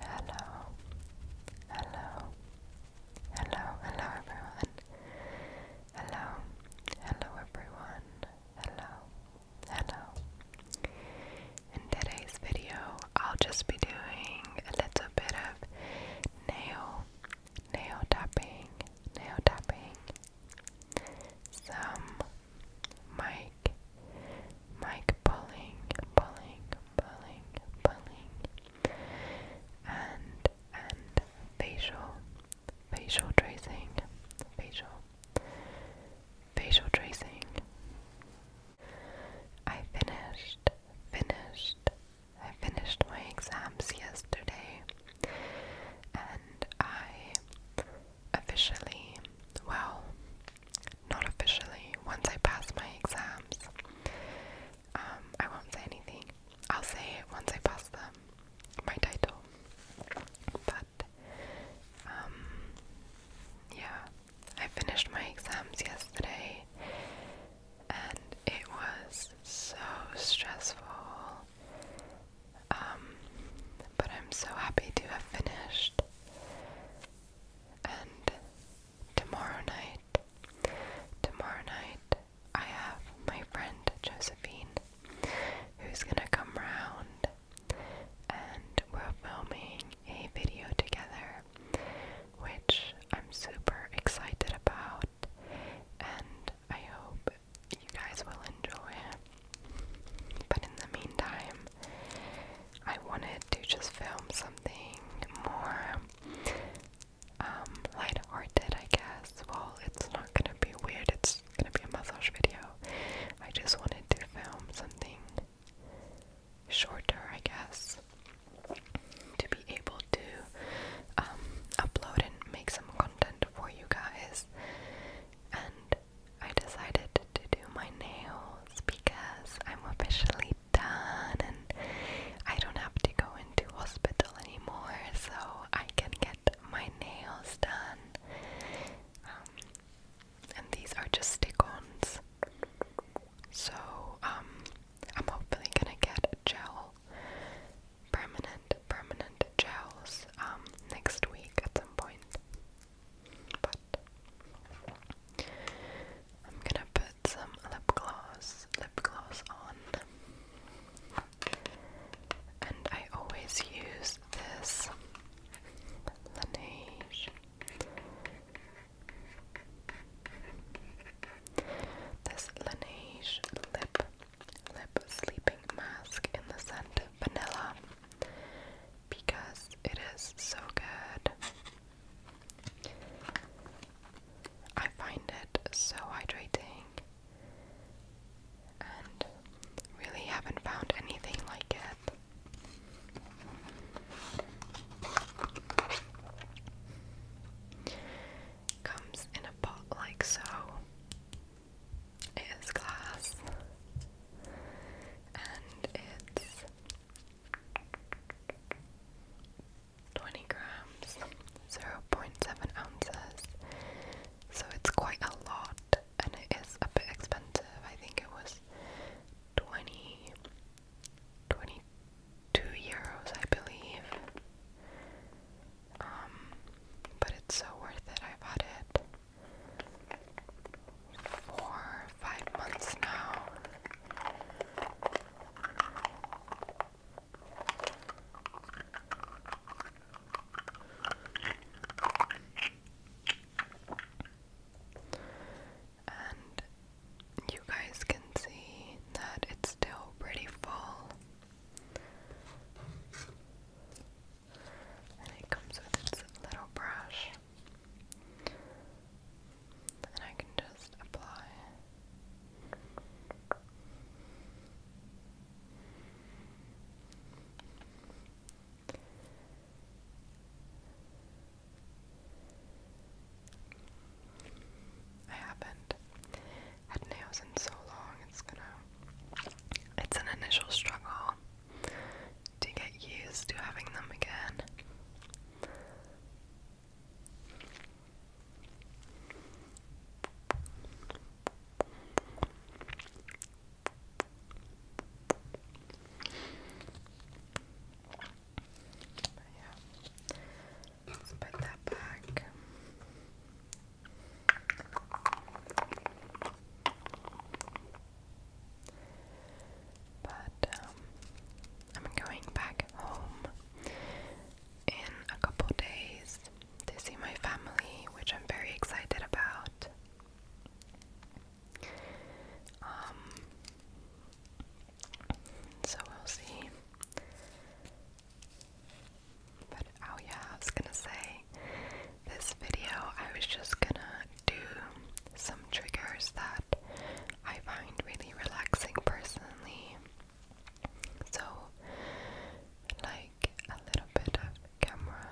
Hello, hello, hello, hello everyone. Hello, hello everyone. Hello, hello. In today's video, I'll just be doing a little bit of nail, nail tapping, nail tapping, some Mike, Mike Pulling, Pulling, Pulling, Pulling, and and facial, facial tracing, facial, facial tracing. I finished, finished, I finished my exams yesterday, and I officially, well, not officially, once I pass my exams, um, I won't say anything. I'll say it once I pass them, my title. But, um, yeah, I finished my exams yesterday and it was so stressful. Um, but I'm so happy to have finished. And tomorrow night, tomorrow night, I have my friend Josephine who's gonna come round and we're filming a video together, which I'm super excited about, and I hope you guys will enjoy it. But in the meantime, I wanted to just film something more um, light-hearted, I guess. Well, it's not gonna be weird, it's gonna be a massage video. I just wanted to film something shorter, I guess, to be able to um, upload and make some content for you guys. And I decided to do my nails because I'm officially done and I don't have to go into hospital anymore, so I can get my nails done. Um, and these are just stick-ons. So, um, I'm hopefully gonna get gel, permanent, permanent gels, um, next week at some point. But I'm gonna put some lip gloss, lip gloss on. And I always use this Laneige. This Laneige lip lip sleeping mask in the scent vanilla because it is so good. I find it so hydrating and really haven't found anything like it. Comes in a pot like so. It is glass. And it's 20 grams, 0.7 ounces. So it's quite a lot and it is a bit expensive. I think it was 20 euros, I believe. Um, but it's so worth it. i bought it four, five months now. And you guys can see that it's still pretty full and it comes with its little brush. And I can just apply. I haven't had nails in so long, it's gonna. It's an initial struggle to get used to having them again. let's put that back. But um, I'm going back home in a couple days to see my family, which I'm very excited about. Um, so we'll see. But oh yeah, I was gonna say this video I was just gonna do some triggers that I find really relaxing personally. So, like a little bit of camera.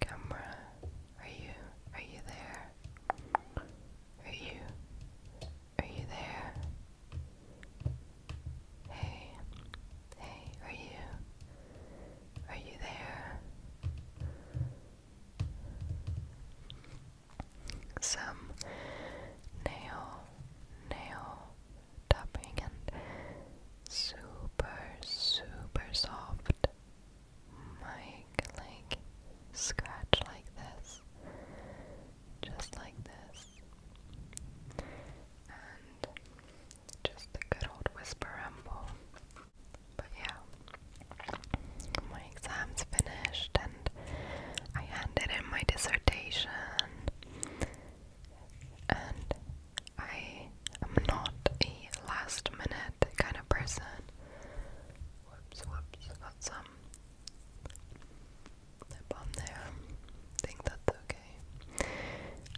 Camera, are you are you there? Are you are you there? Hey, hey, are you are you there? Some nail, nail tapping and super, super soft mic like scratch like this, just like this, just a good old whisper rumble. But yeah, my exam's finished and I handed in my dissertation. And I am not a last minute kind of person. Whoops, whoops, got some lip on there. think that's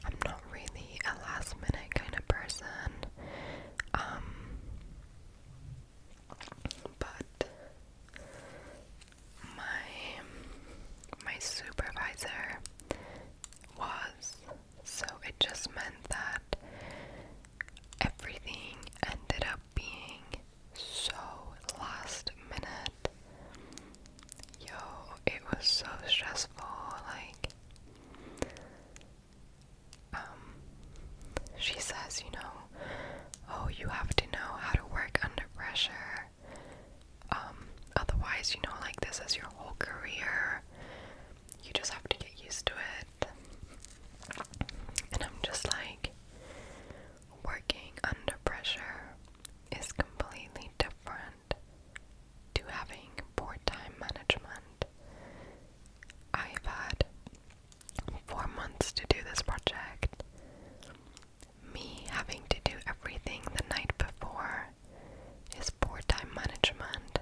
I'm not really a last minute kind of person. Um, but my my supervisor was so it just meant that everything ended up being so last minute Yo, it was so stressful, like um she says, you know, oh you have to know how to work under pressure. Um, otherwise, you know, like this is your whole career. You just have to get used to it. And I'm just like working under pressure is completely different to having poor time management. I've had four months to do this project. Me having to do everything the night before is poor time management,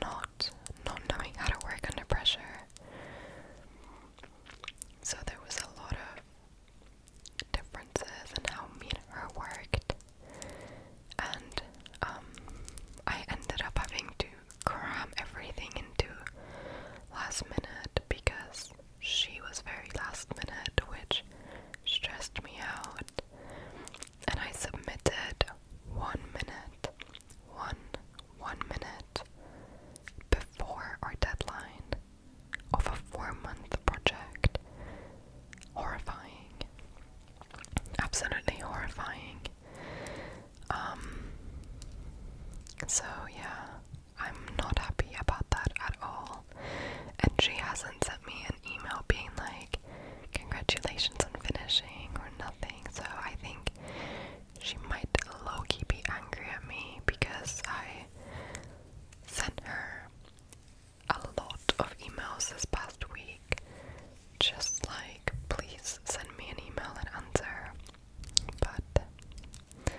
not not knowing how to work under pressure. So there was a lot of differences in how me and her worked and um, I ended up having to cram everything into last minute because she was very last minute, which stressed me out. And I submitted one minute, one, one minute before our deadline of a four month project. Horrifying absolutely horrifying. Um, so yeah, I'm not happy about that at all. And she hasn't sent me an email being like, congratulations on finishing or nothing. So I think she might low be angry at me because I sent her a lot of emails this past week. Just like, please send me an email and answer. But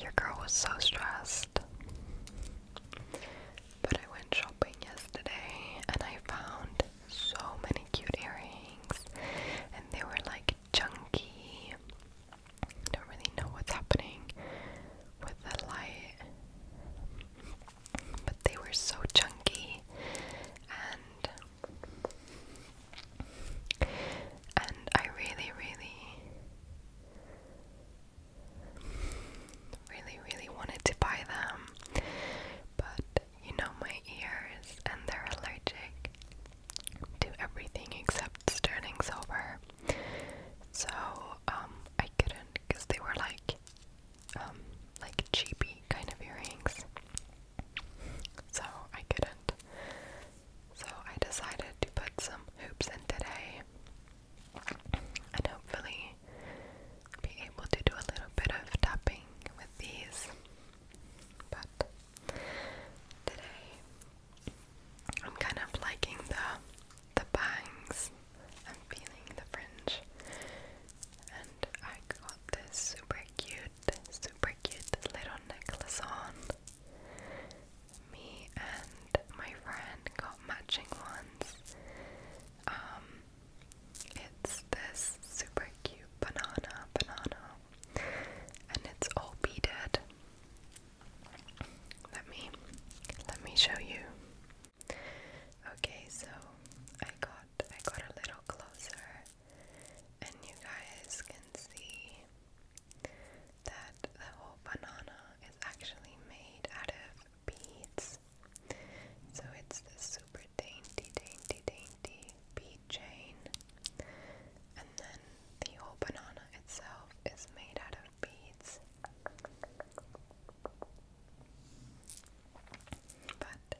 your girl was so stressed. But I went shopping yesterday and I found so many cute earrings, and they were like chunky. don't really know what's happening with the light but they were so chunky and and I really really really really wanted to buy them but you know my ears and they're allergic to everything except sterling silver so um I couldn't because they were like um, like cheapy kind of earrings. So I couldn't. So I decided to put some hoops in today and hopefully be able to do a little bit of tapping with these. But today I'm kind of liking the the bangs I'm feeling the fringe. And I got this super cute, super cute little necklace on. Me and my friend got matching ones. Um, it's this super cute banana, banana, and it's all beaded. Let me, let me show you. Okay, so I got I got a little closer and you guys can see that the whole banana is actually made out of beads. So it's this super dainty, dainty, dainty bead chain. And then the whole banana itself is made out of beads. But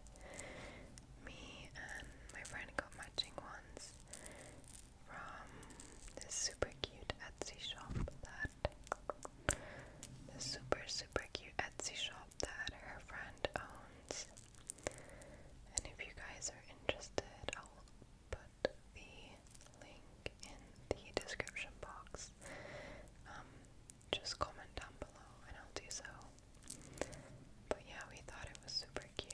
me and my friend got matching ones from this super cute Etsy shop that the super super cute Etsy shop that her friend owns. And if you guys are interested, I'll put the link in the description box. Um, just comment down below and I'll do so. But yeah, we thought it was super cute.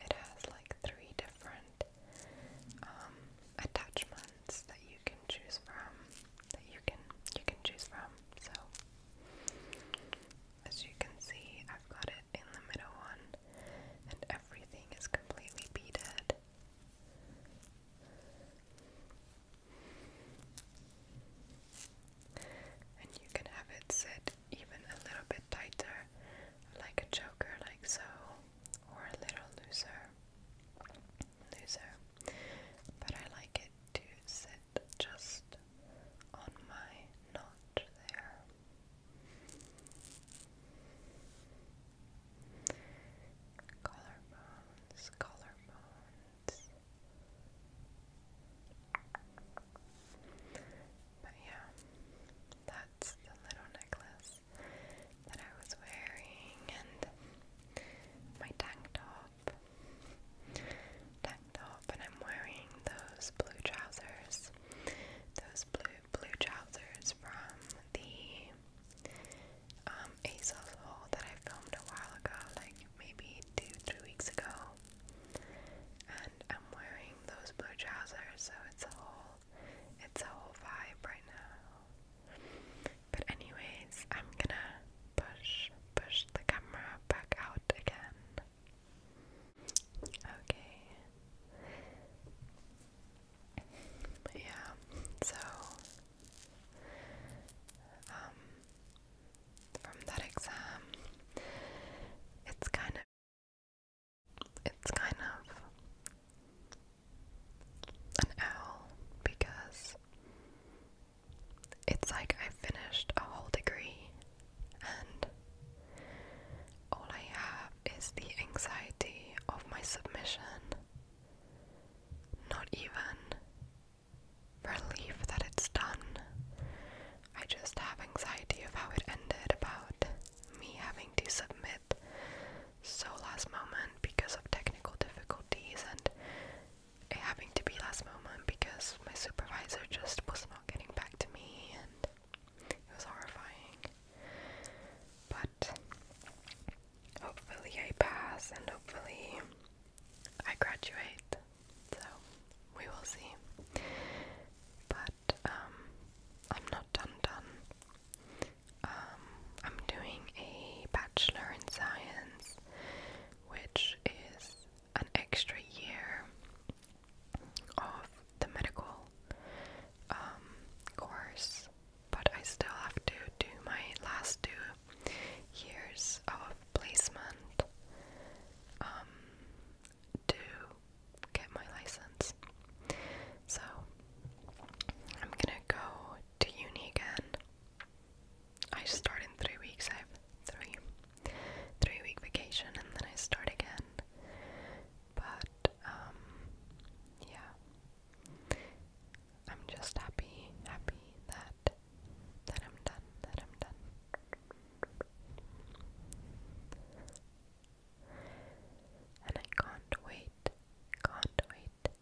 it has like three different um, attachments that you can choose from. That you can you can choose from. So as you can see, I've got it in the middle one, and everything is completely beaded. And you can have it sit even a little bit tighter, like a choker, like so, or a little looser. Looser. But I like it to sit it just on my notch there. Collarbones, collarbones. But yeah, that's the little necklace that I was wearing and my tank top top and I'm wearing those blue trousers. Those blue blue trousers from the um ASOS haul that I filmed a while ago, like maybe two, three weeks ago. And I'm wearing those blue trousers, so it's a whole it's a whole vibe right now. But anyways, I'm gonna push push the camera back out again Okay. yeah, so um from that exam it's kind of it's kind of an L because it's like I finished a whole degree and all I have is the anxiety of my submission. Not even relief that it's done. I just have anxiety of how it ended about me having to submit so last moment because of technical difficulties and having to be last moment because my supervisor just was not not getting back to me, and it was horrifying. But hopefully, I pass, and hopefully, I graduate. So we will see. But um, I'm not done done. Um, I'm doing a bachelor in science, which is an extra year of the medical um, course, but I still have to do my last two years of placement um, to get my license. So I'm gonna go to uni again. I start in three weeks. I have three three week vacation and then I start again. But, um, yeah. I'm just happy, happy that that I'm done, that I'm done. And I can't wait, can't wait,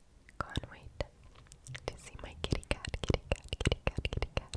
can't wait to see my kitty cat, kitty cat, kitty cat, kitty cat.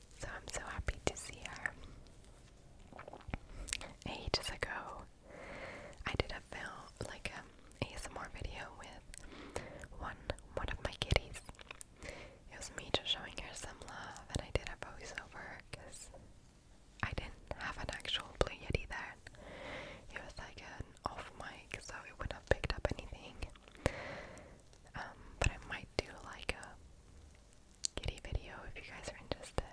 So I'm so happy to see her. Ages ago, I did a film, like um, a ASMR video with one one of my kitties. It was me just showing her some love, and I did a voiceover because I didn't have an actual Blue Yeti then. It was like an off mic, so it wouldn't have picked up anything. Um, but I might do like a kitty video if you guys are interested.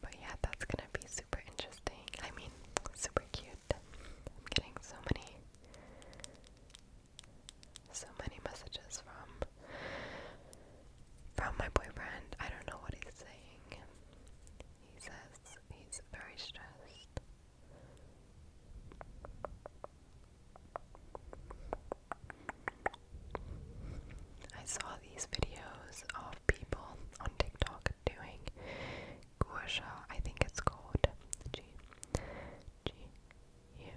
But yeah, that's gonna be super interesting. I mean, super cute. I'm getting so many, so many messages from from my boyfriend. I don't know what he's saying. He says he's very stressed I saw these videos of people on TikTok doing gua I think it's called G G U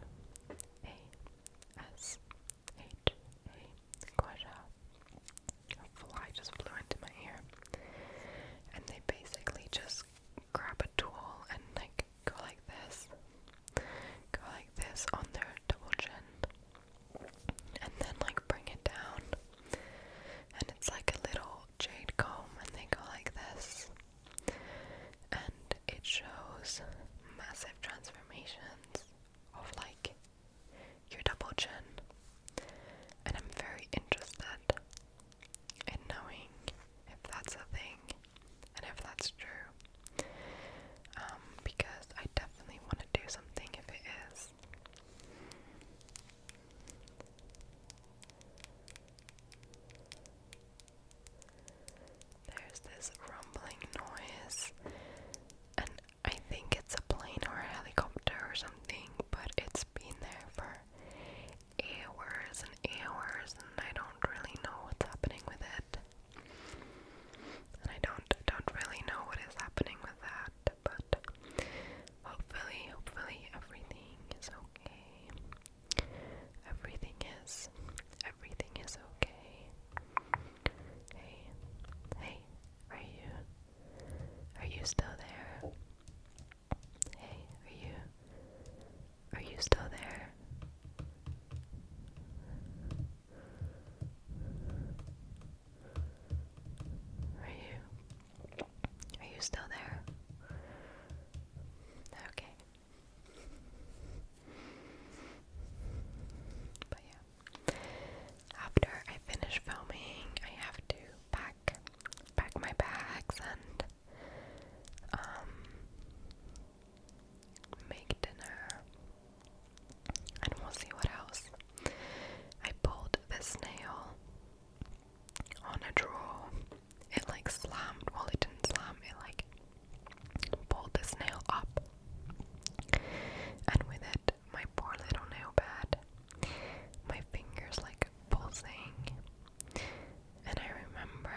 A S H A gua A fly just flew into my ear. And they basically just grab a tool and like go like this, go like this on their double chin, and then like bring it down, and it's like a little jade comb, and they go like this, and it shows massive transformations of like your double chin, and I'm very interested and knowing if that's a thing and if that's true. Um, because I definitely want to do something if it is. There's this rumbling noise, and I think it's a plane or a helicopter or something, but it's been there for hours and hours, and I don't really know what's happening with it. And I don't don't really know what is happening with that, but hopefully, hopefully everything is okay. Everything is everything is okay. Hey, hey, are you are you still there? Hey, are you are you still there? Are you are you still there? Okay. But yeah. After I finish filming, I have to pack pack my bags and um, make dinner, and we'll see what else. I pulled this nail on a drawer. It like slammed. Well, it didn't slam. It like pulled this nail up, and with it, my poor little nail pad. My fingers like pulsing. And I remember,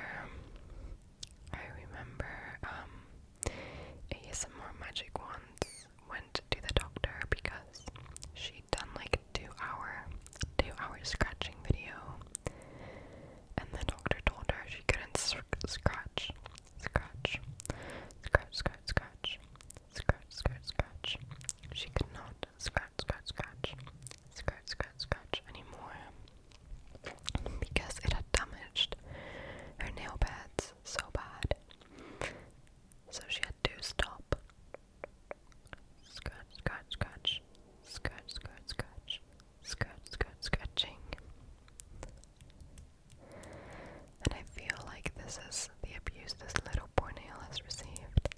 I remember, um, ASMR Magic once went to the doctor because she'd done like a two hour, two hour scratching video. And the doctor told her she couldn't sc scratch, scratch, scratch, scratch, scratch, scratch, scratch, scratch. She could not scratch, scratch, scratch scratch, scratch, scratch anymore because it had damaged her nail beds so bad. So she had to stop. Scratch, scratch, scratch, scratch, scratch, scratch, scratching. And I feel like this is the abuse this little poor nail has received.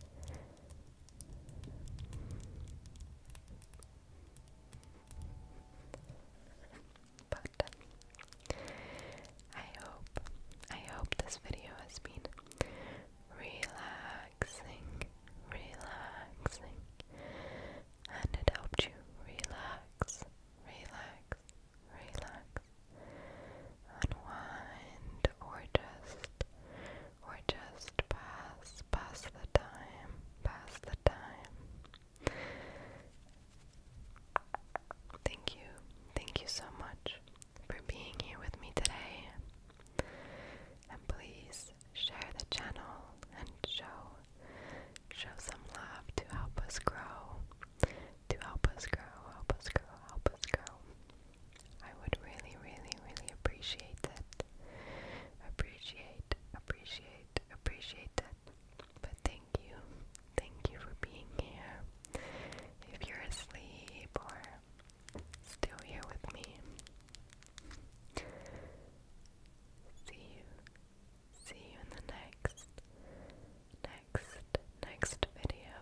But uh, I hope, I hope this video has been relaxing, relaxing, and it helped you relax, relax, relax, unwind, or just or just pass, pass the time, pass the time. Thank you, thank you so much for being here with me today. And please share the channel and show show some love to help us grow. To help us grow, help us grow, help us grow. I would really, really, really appreciate it. Appreciate, appreciate, appreciate it. But thank you. Thank you for being here. If you're asleep or still here with me, see you. See you in the next, next, next video.